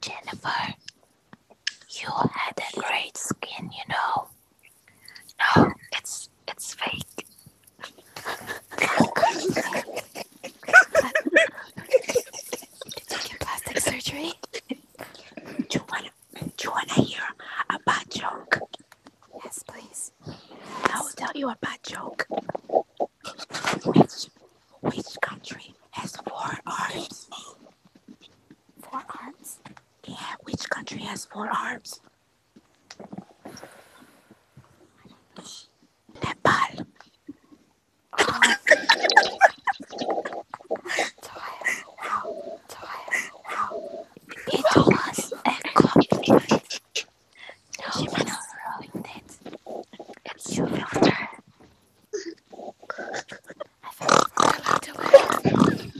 Jennifer, you had a great skin, you know. No, it's it's fake. plastic surgery? you wanna do you wanna hear a bad joke? Yes, please. I will tell you a bad joke. Which, which country has four arms? Four arms? Yeah, which country has four arms? Nepal. Oh. It was a copy. No, she might have ruined it. It's your filter. I felt really to it.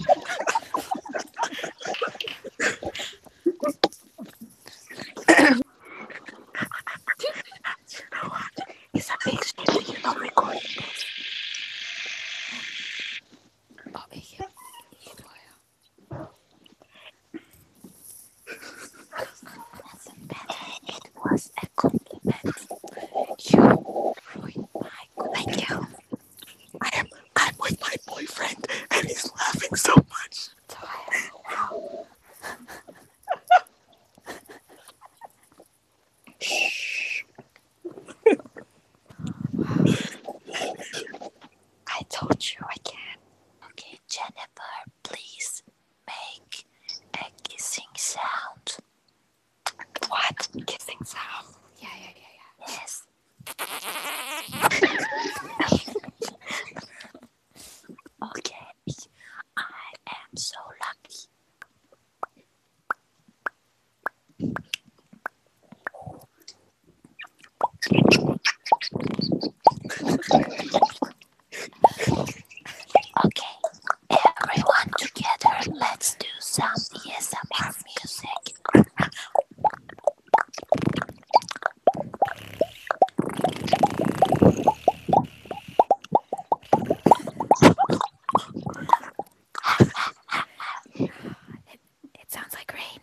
you know what? It's a big shame that you're not recording this. It was a compliment. You ruined my Thank you. I am. I'm with my boyfriend, and he's laughing so much. Shh. I told you I can. Okay, Jennifer, please make a kissing sound. What? Kissing sound? Yeah, yeah, yeah, yeah. Yes. okay, I am so lucky. Okay, everyone together, let's do some ESMR music. it, it sounds like rain.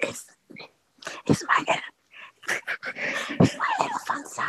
it's, it's my my elephant sound.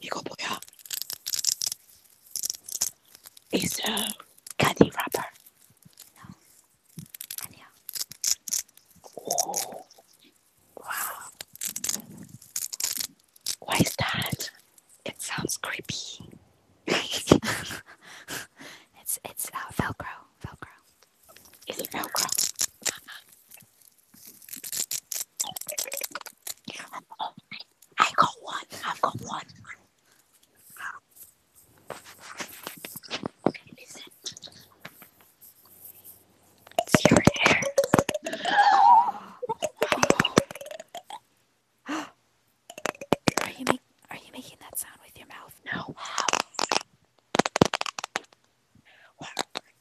이거 뭐야? It's a candy wrapper. Wow. Why is that? It sounds creepy. it's it's uh, Velcro. Velcro. Is it Velcro? Oh, I got one. I've got one. Okay, Are you making? that sound with your mouth? No.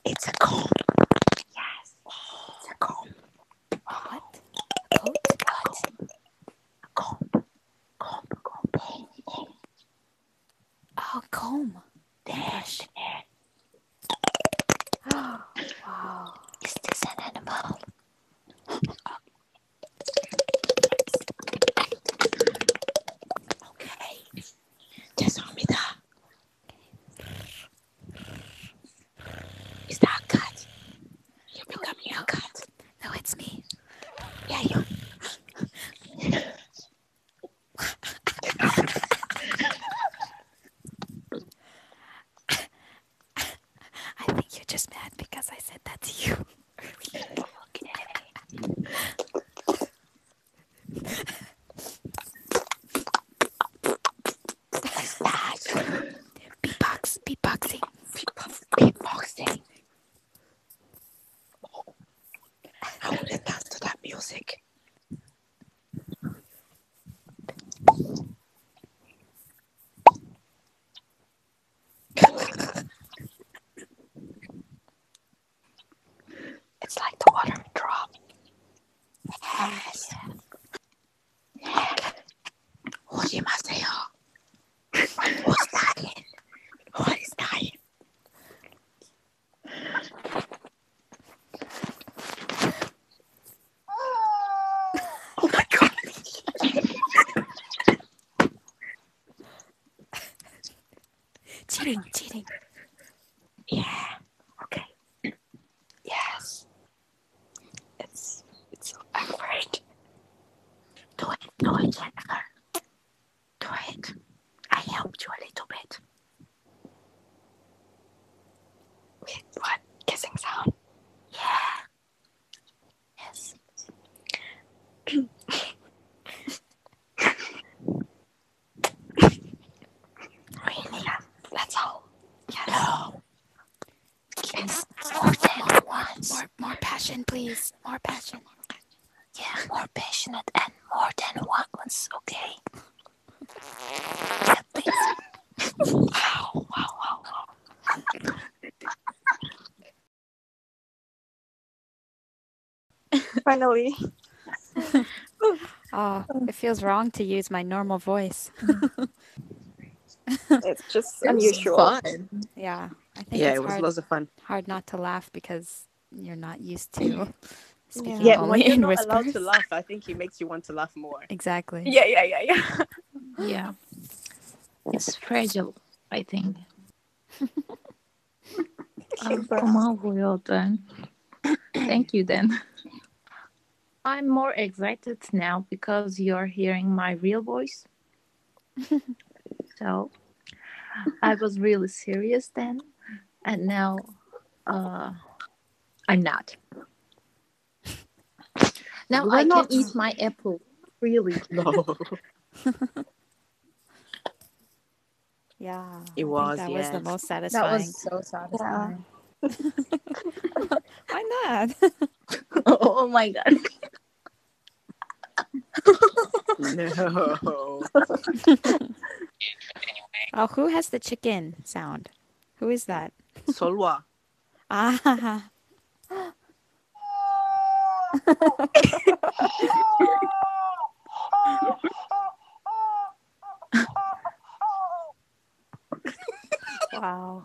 It's a comb. Yes. a comb. What? coat? What? A comb. Comb, comb. comb. Oh, comb. Dash. Oh, wow. Is this an animal? Okay. 죄송합니다. Is that a You're becoming a cat. No, it's me. Yeah, you. I think you're just mad because I said that to you okay. What's that? Beatbox, beatboxing. Beatbox, beatboxing. I want to dance to that music. It's like the water drop. Yes. 오지마세요. What's that What is that Oh my god. cheating, cheating. Yeah. Okay. Yes. It's it's so awkward. Do it, do it, Jennifer. Do it. I helped you a little bit. Wait, what? Kissing sound? Yeah. Yes. really? That's all. No. Yes. More, more, once. more, more passion, please. More passion. Yeah, more passionate and more than once, okay? wow, wow, wow. Finally. oh, it feels wrong to use my normal voice. it's just unusual. Yeah. I think yeah, it was hard, lots of fun. Hard not to laugh because you're not used to speaking yeah. only yeah, when you're not allowed to laugh, I think it makes you want to laugh more. Exactly. Yeah, yeah, yeah, yeah. yeah. It's fragile, I think. Aman vuruyor then. Thank you then. I'm more excited now because you're hearing my real voice. so I was really serious then, and now uh, I'm not. Now I can eat my apple. Really? No. Yeah. It was. That was the most satisfying. That was so satisfying. Why not? oh my god. no. oh, who has the chicken sound? Who is that? Solwa. Ah wow.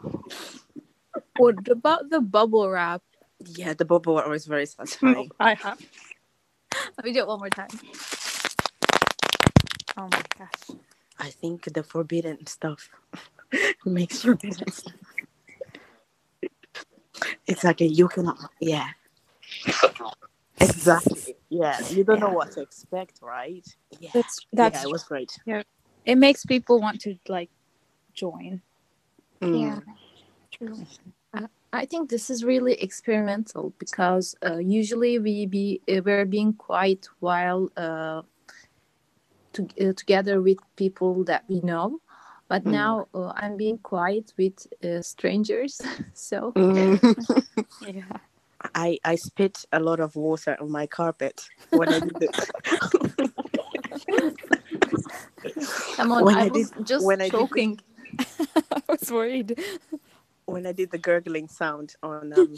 What about the bubble wrap? Yeah, the bubble wrap was very satisfying. I have. Let me do it one more time. Oh my gosh. I think the forbidden stuff makes forbidden stuff. It's like a cannot. Yeah. exactly. Yeah. You don't know what to expect, right? Yeah. That's, that's yeah, it was great. Yeah. It makes people want to like join. Mm. Yeah. True. I think this is really experimental because uh, usually we be uh, we're being quiet while uh, to, together with people that we know but mm. now uh, i'm being quiet with uh, strangers so mm. i i spit a lot of water on my carpet when i did just when I, was worried when i did the gurgling sound on um,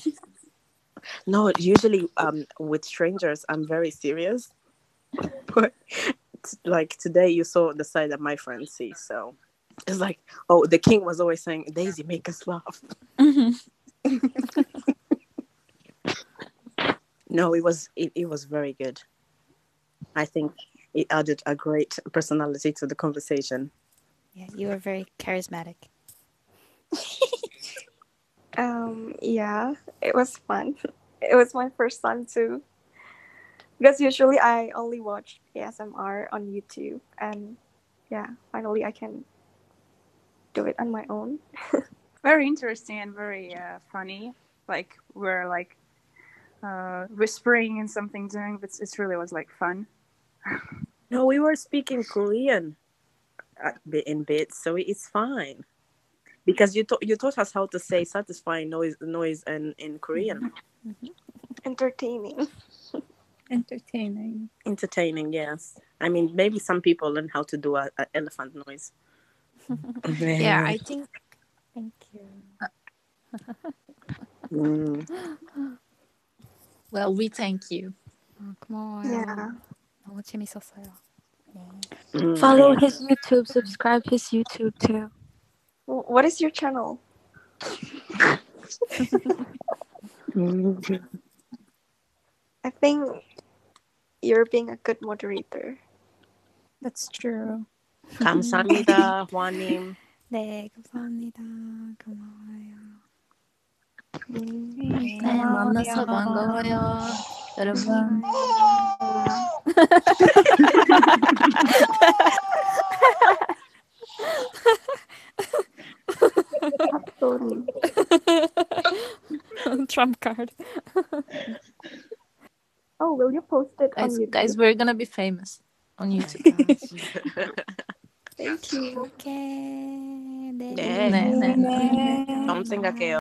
No, usually um, with strangers, I'm very serious. but like today, you saw the side that my friends see. So it's like, oh, the king was always saying, Daisy, make us laugh. Mm-hmm. no, it was it was very good. I think it added a great personality to the conversation. Yeah, you were very charismatic. Um, yeah, it was fun. It was my first time too. Because usually I only watch ASMR on YouTube, and yeah, finally I can do it on my own. very interesting and very uh, funny. Like we're like uh, whispering and something doing, but it really was like fun. no, we were speaking Korean uh, in bits, so it's fine because you taught you taught us how to say satisfying noise noise in, in Korean. Mm-hmm. Entertaining. Entertaining. Entertaining, yes. I mean, maybe some people learn how to do a, elephant noise. yeah, I think. Thank you. Mm. Well, we thank you. Yeah. Follow his YouTube, subscribe his YouTube too. What is your channel? I think you're being a good moderator. That's true. 감사합니다, 화님. 네, 감사합니다. 고마워요. 네, 만나서 반가워요. Trump card. oh, will you post it guys, Guys, we're gonna be famous on YouTube. Thank you. Okay. Something like